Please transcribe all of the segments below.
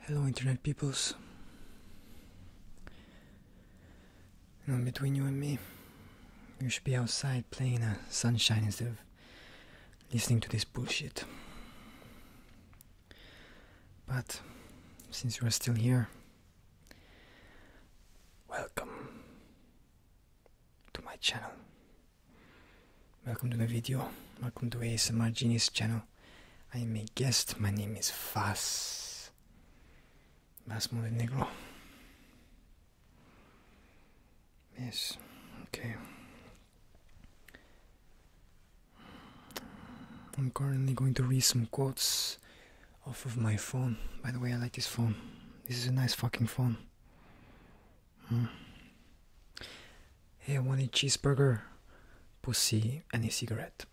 Hello, Internet peoples. You know, between you and me, you should be outside playing the sunshine instead of listening to this bullshit. But since you are still here, welcome to my channel. Welcome to my video, welcome to ASMR Genius channel. I am a guest, my name is Vas. Vas Negro. Yes, okay. I'm currently going to read some quotes off of my phone. By the way, I like this phone. This is a nice fucking phone. Hmm. Hey, I want a cheeseburger, pussy, and a cigarette.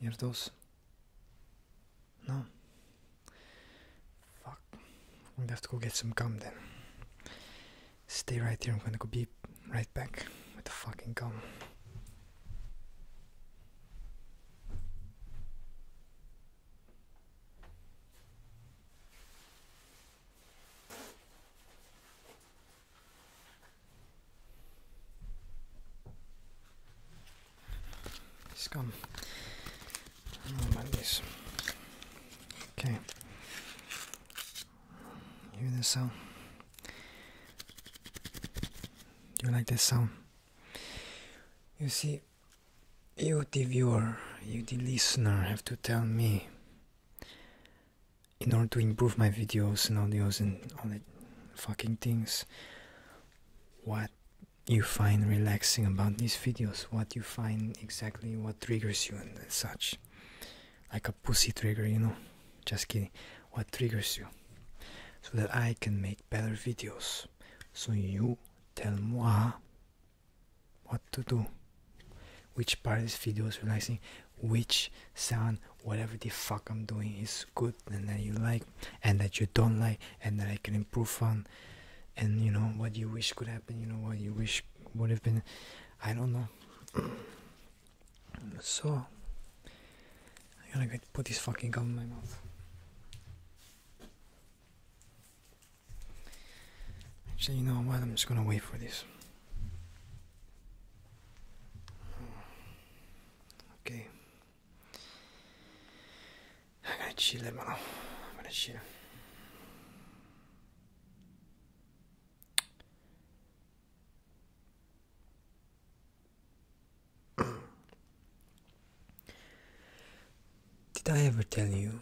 You have those? No. Fuck. I'm gonna have to go get some gum then. Stay right here, I'm gonna go be right back with the fucking gum. Scum. I don't Okay. hear this sound? Do you like this sound? You see, you, the viewer, you, the listener, have to tell me in order to improve my videos and audios and all that fucking things what you find relaxing about these videos, what you find exactly what triggers you and such. Like a pussy trigger, you know? Just kidding. What triggers you? So that I can make better videos. So you tell moi what to do which part of this video is relaxing which sound whatever the fuck i'm doing is good and that you like and that you don't like and that i can improve on and you know what you wish could happen you know what you wish would have been i don't know so i gotta get put this fucking gum in my mouth Actually, you know what? I'm just gonna wait for this. Okay. I'm gonna chill, hermano. I'm gonna chill. Did I ever tell you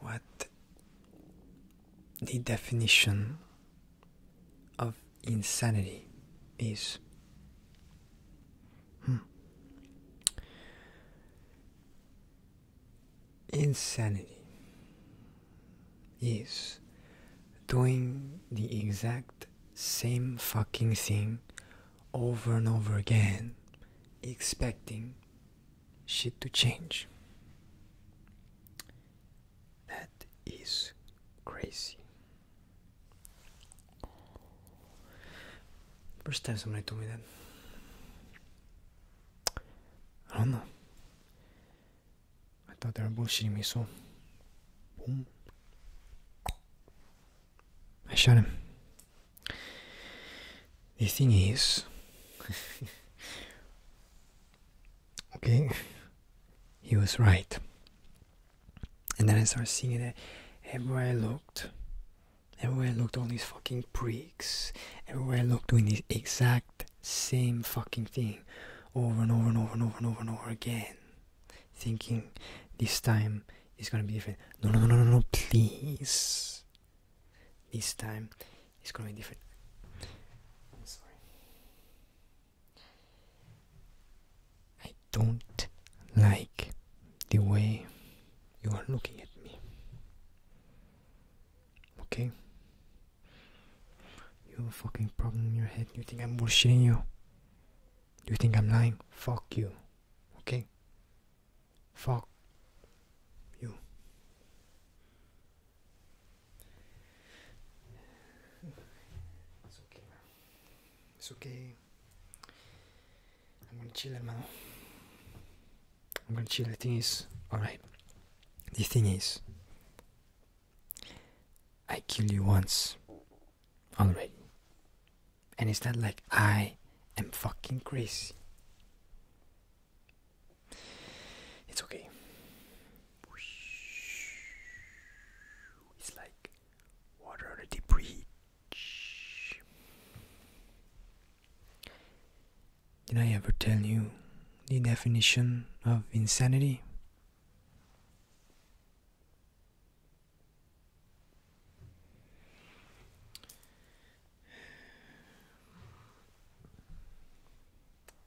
what the definition of insanity is? Hmm. Insanity is doing the exact same fucking thing over and over again, expecting shit to change. That is crazy. First time somebody told me that. I don't know. I thought they were bullshitting me, so boom. I shot him. The thing is, okay, he was right. And then I started seeing it everywhere I looked. Everywhere I looked, all these fucking pricks. Everywhere I looked, doing the exact same fucking thing over and over and over and over and over and over again. Thinking this time is gonna be different. No, no, no, no, no, please. This time it's gonna be different. I'm sorry. I don't like the way you are looking at me. Okay? You have a fucking problem in your head. You think I'm bullshitting you? You think I'm lying? Fuck you. Okay? fuck you it's okay okay I'm gonna chill man. I'm gonna chill the thing is alright the thing is I killed you once already and it's not like I am fucking crazy. It's okay. It's like water on a deep bridge. Did I ever tell you the definition of insanity?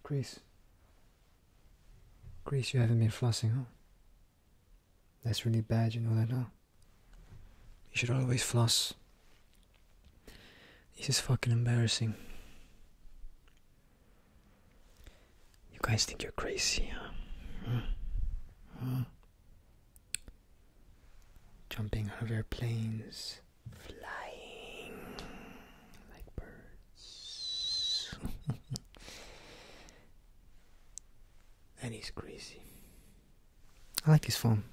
Grease. Grease, you haven't been flossing, huh? That's really bad, you know that, huh? You should always floss. This is fucking embarrassing. You guys think you're crazy, huh? jumping out of airplanes, flying like birds. and he's crazy. I like his phone.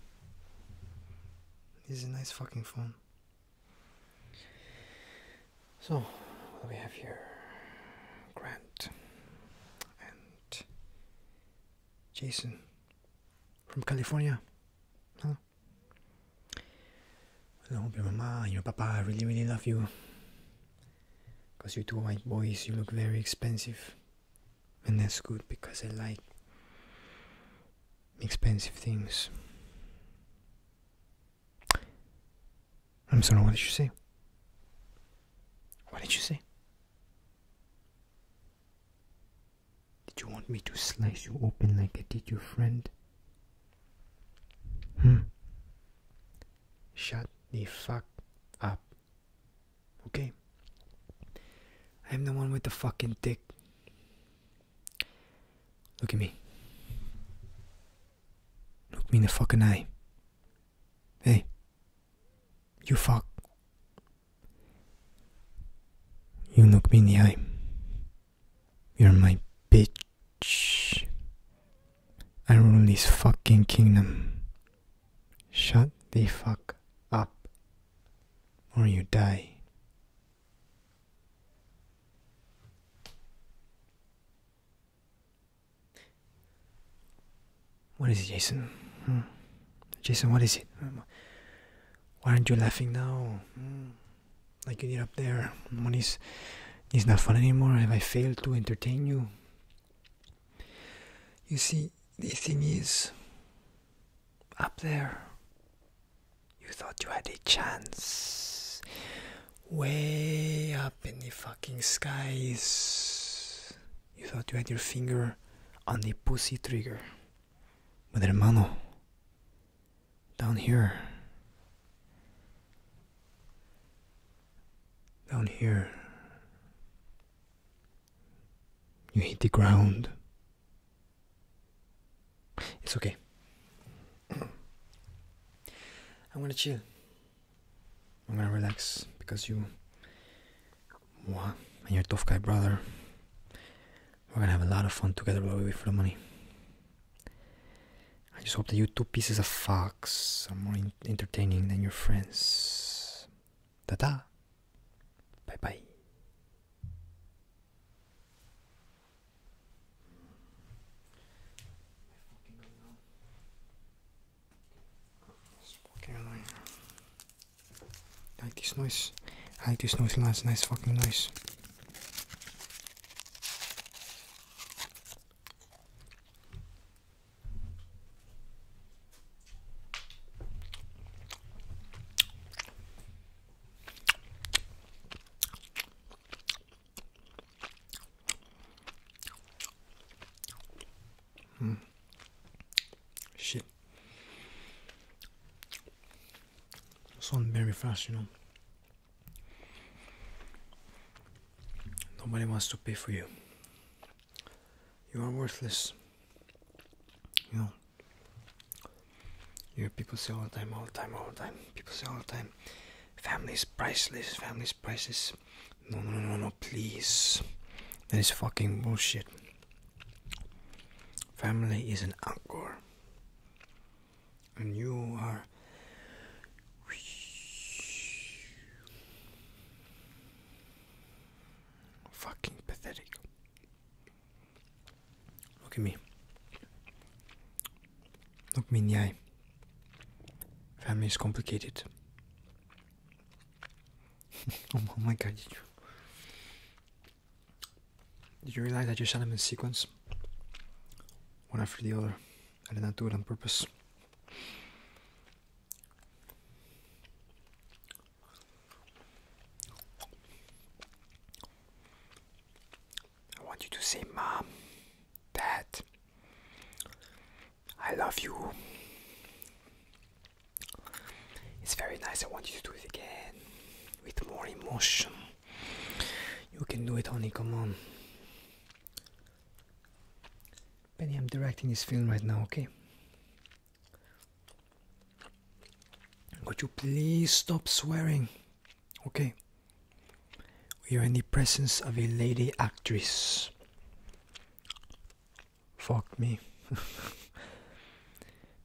This is a nice fucking phone. So, what do we have here? Grant and Jason from California. hello. I your mama and your papa I really, really love you. Because you two white boys, you look very expensive. And that's good because I like expensive things. I'm sorry, what did you say? What did you say? Did you want me to slice you open like I did your friend? Hmm. Shut the fuck up. Okay? I'm the one with the fucking dick. Look at me. Look me in the fucking eye. Hey, you fuck. You look me in the eye. You're my bitch. I rule this fucking kingdom. Shut the fuck up, or you die. What is it, Jason? Hmm? Jason, what is it? Why aren't you laughing now? Hmm? Like you did up there. When is is not fun anymore? Have I failed to entertain you? You see, the thing is, up there, you thought you had a chance. Way up in the fucking skies. You thought you had your finger on the pussy trigger. But hermano, down here, down here, you hit the ground. It's okay. I'm gonna chill. I'm gonna relax because you, and your tough guy brother, we're gonna have a lot of fun together while we wait for the money. I just hope that you two pieces of fox are more entertaining than your friends. Ta ta! Bye bye like this noise. like this noise, lads. Nice fucking noise. Hmm. Shit. It's on very fast, you know. Nobody wants to pay for you. You are worthless. You know. You hear people say all the time, all the time, all the time. People say all the time, family's priceless, family's priceless. No, no, no, no, please. That is fucking bullshit. Family is an anchor. And you are. Fucking pathetic. Look at me. Look me in the eye. Family is complicated. oh my god, did you, did you realize I just shot them in sequence? One after the other. I did not do it on purpose. I want you to say, Mom, Dad. I love you. It's very nice. I want you to do it again with more emotion. You can do it, honey. Come on. Penny. I'm directing this film right now, okay? Could you please stop swearing? Okay. We are in the presence of a lady actress. Fuck me.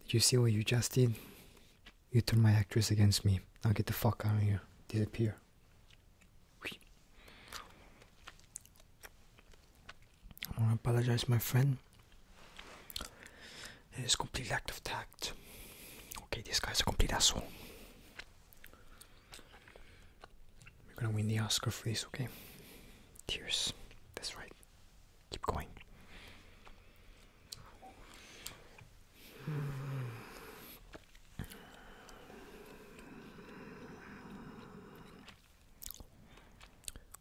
Did you see what you just did? You turned my actress against me. Now get the fuck out of here. Disappear. I want to apologize, my friend. It is complete lack of tact. Okay, this guy's a complete asshole. We're gonna win the Oscar for this, okay? Tears. That's right. Keep going.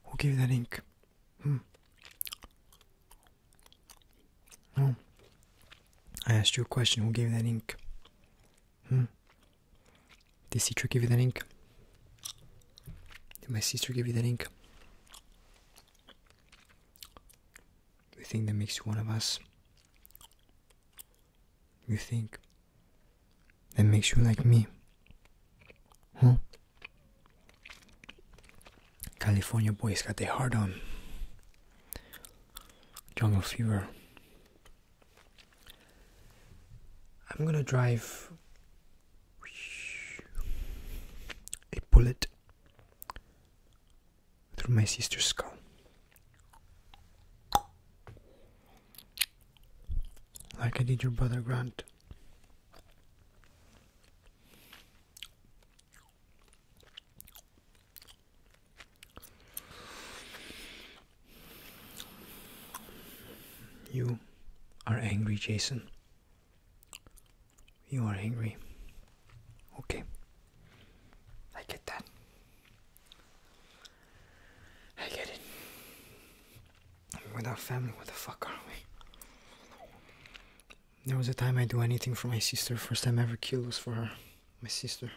Who gave that ink? Hmm. No. I asked you a question. Who gave you that ink? Hmm. Did Citra give you that ink? Did my sister give you that ink? You think that makes you one of us? You think that makes you like me? Huh? California boys got their heart on. Jungle fever. I'm gonna drive a bullet through my sister's skull. Like I did your brother Grant. You are angry, Jason. You are angry. Okay. I get that. I get it. Without family, what the fuck are we? There was a time I'd do anything for my sister, first time ever killed was for her my sister.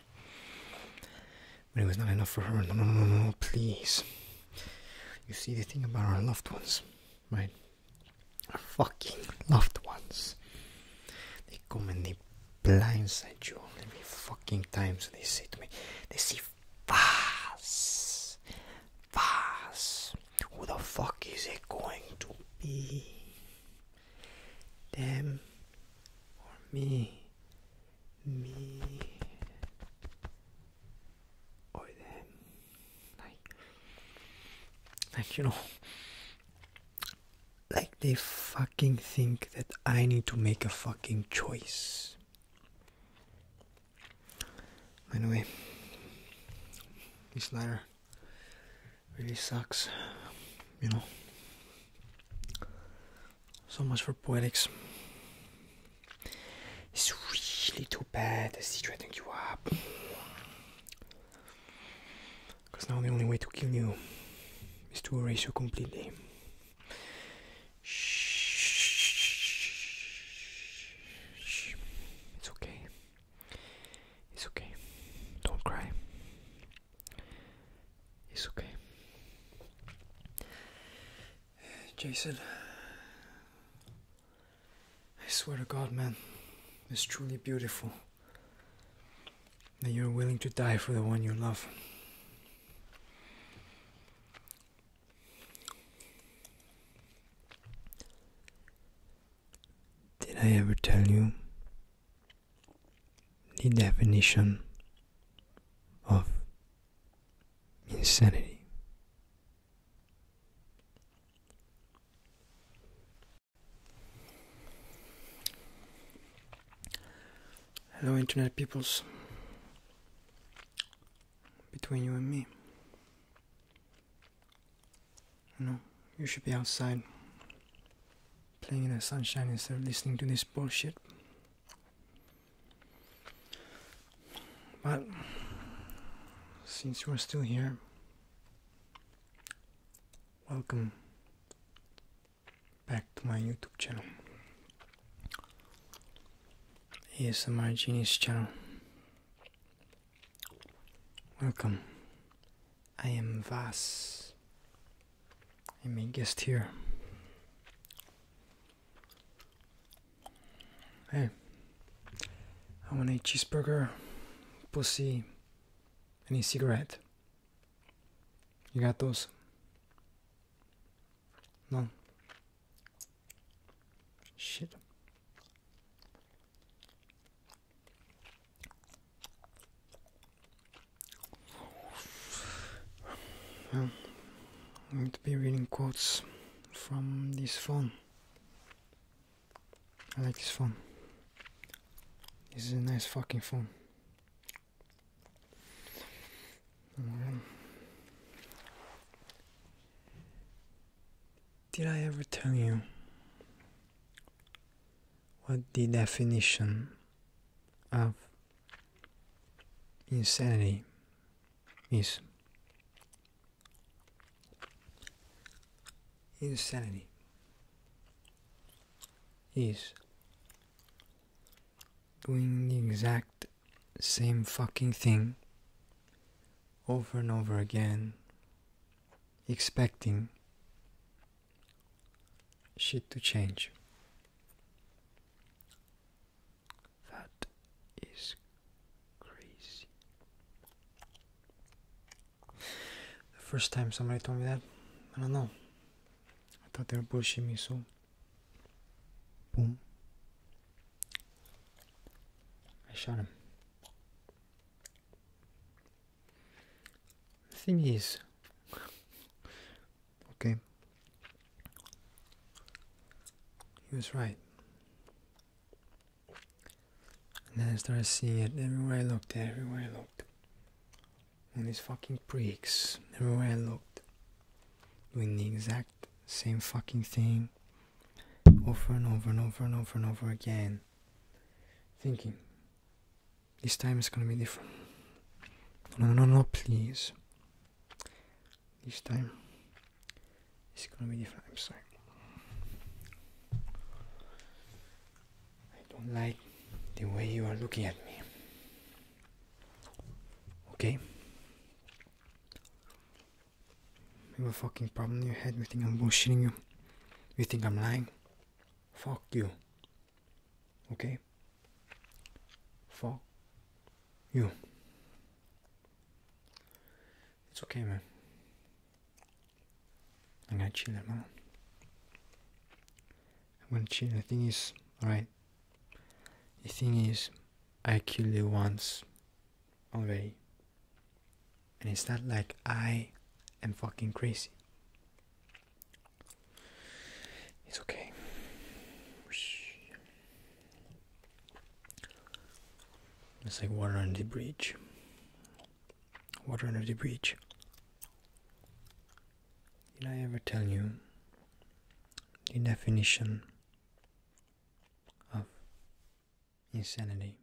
But it was not enough for her. No, no, no, no, please. You see, the thing about our loved ones, right? Our fucking loved ones. They come and they blindside you every fucking time. So they say to me, they see Vaz. Vaz. Who the fuck is it going to be? Them or me? みおいではい like you know like they fucking think that I need to make a fucking choice Anyway, this letter really sucks you know so much for poetics. It's really too bad they're secreting you up. Because now the only way to kill you is to erase you completely. Shh. It's okay. It's okay. Don't cry. It's okay. Jason, I swear to God, man, it's truly beautiful that you're willing to die for the one you love. Did I ever tell you the definition of insanity. Hello, internet peoples. Between you and me. You know, you should be outside playing in the sunshine instead of listening to this bullshit. But since you are still here, welcome back to my YouTube channel. my Genius channel. Welcome. I am Vas. I may guest here. Hey, I want a cheeseburger, pussy, and a cigarette. You got those? No. Shit. I'm going to be reading quotes from this phone. I like this phone. This is a nice fucking phone. Mm-hmm. Did I ever tell you what the definition of insanity is insanity is doing the exact same fucking thing over and over again expecting shit to change. That is crazy. The first time somebody told me that, I don't know. I thought they were pushing me, so boom. I shot him. The thing is, Okay? He was right. And then I started seeing it everywhere I looked, everywhere I looked. All these fucking pricks, everywhere I looked. Doing the exact same fucking thing over and over and over and over and over again. Thinking, this time it's gonna be different. No, no, no, no, please. This time it's gonna be different. I'm sorry. I don't like the way you are looking at me. Okay? You have a fucking problem in your head. You think I'm bullshitting you. You think I'm lying. Fuck you. Okay? Fuck you. It's okay, man. I'm gonna chill out. Man. I'm gonna chill. The thing is, alright. The thing is, I killed you once already. And it's not like I am fucking crazy. It's okay. It's like water under the bridge. Water under the bridge. Did I ever tell you the definition of insanity?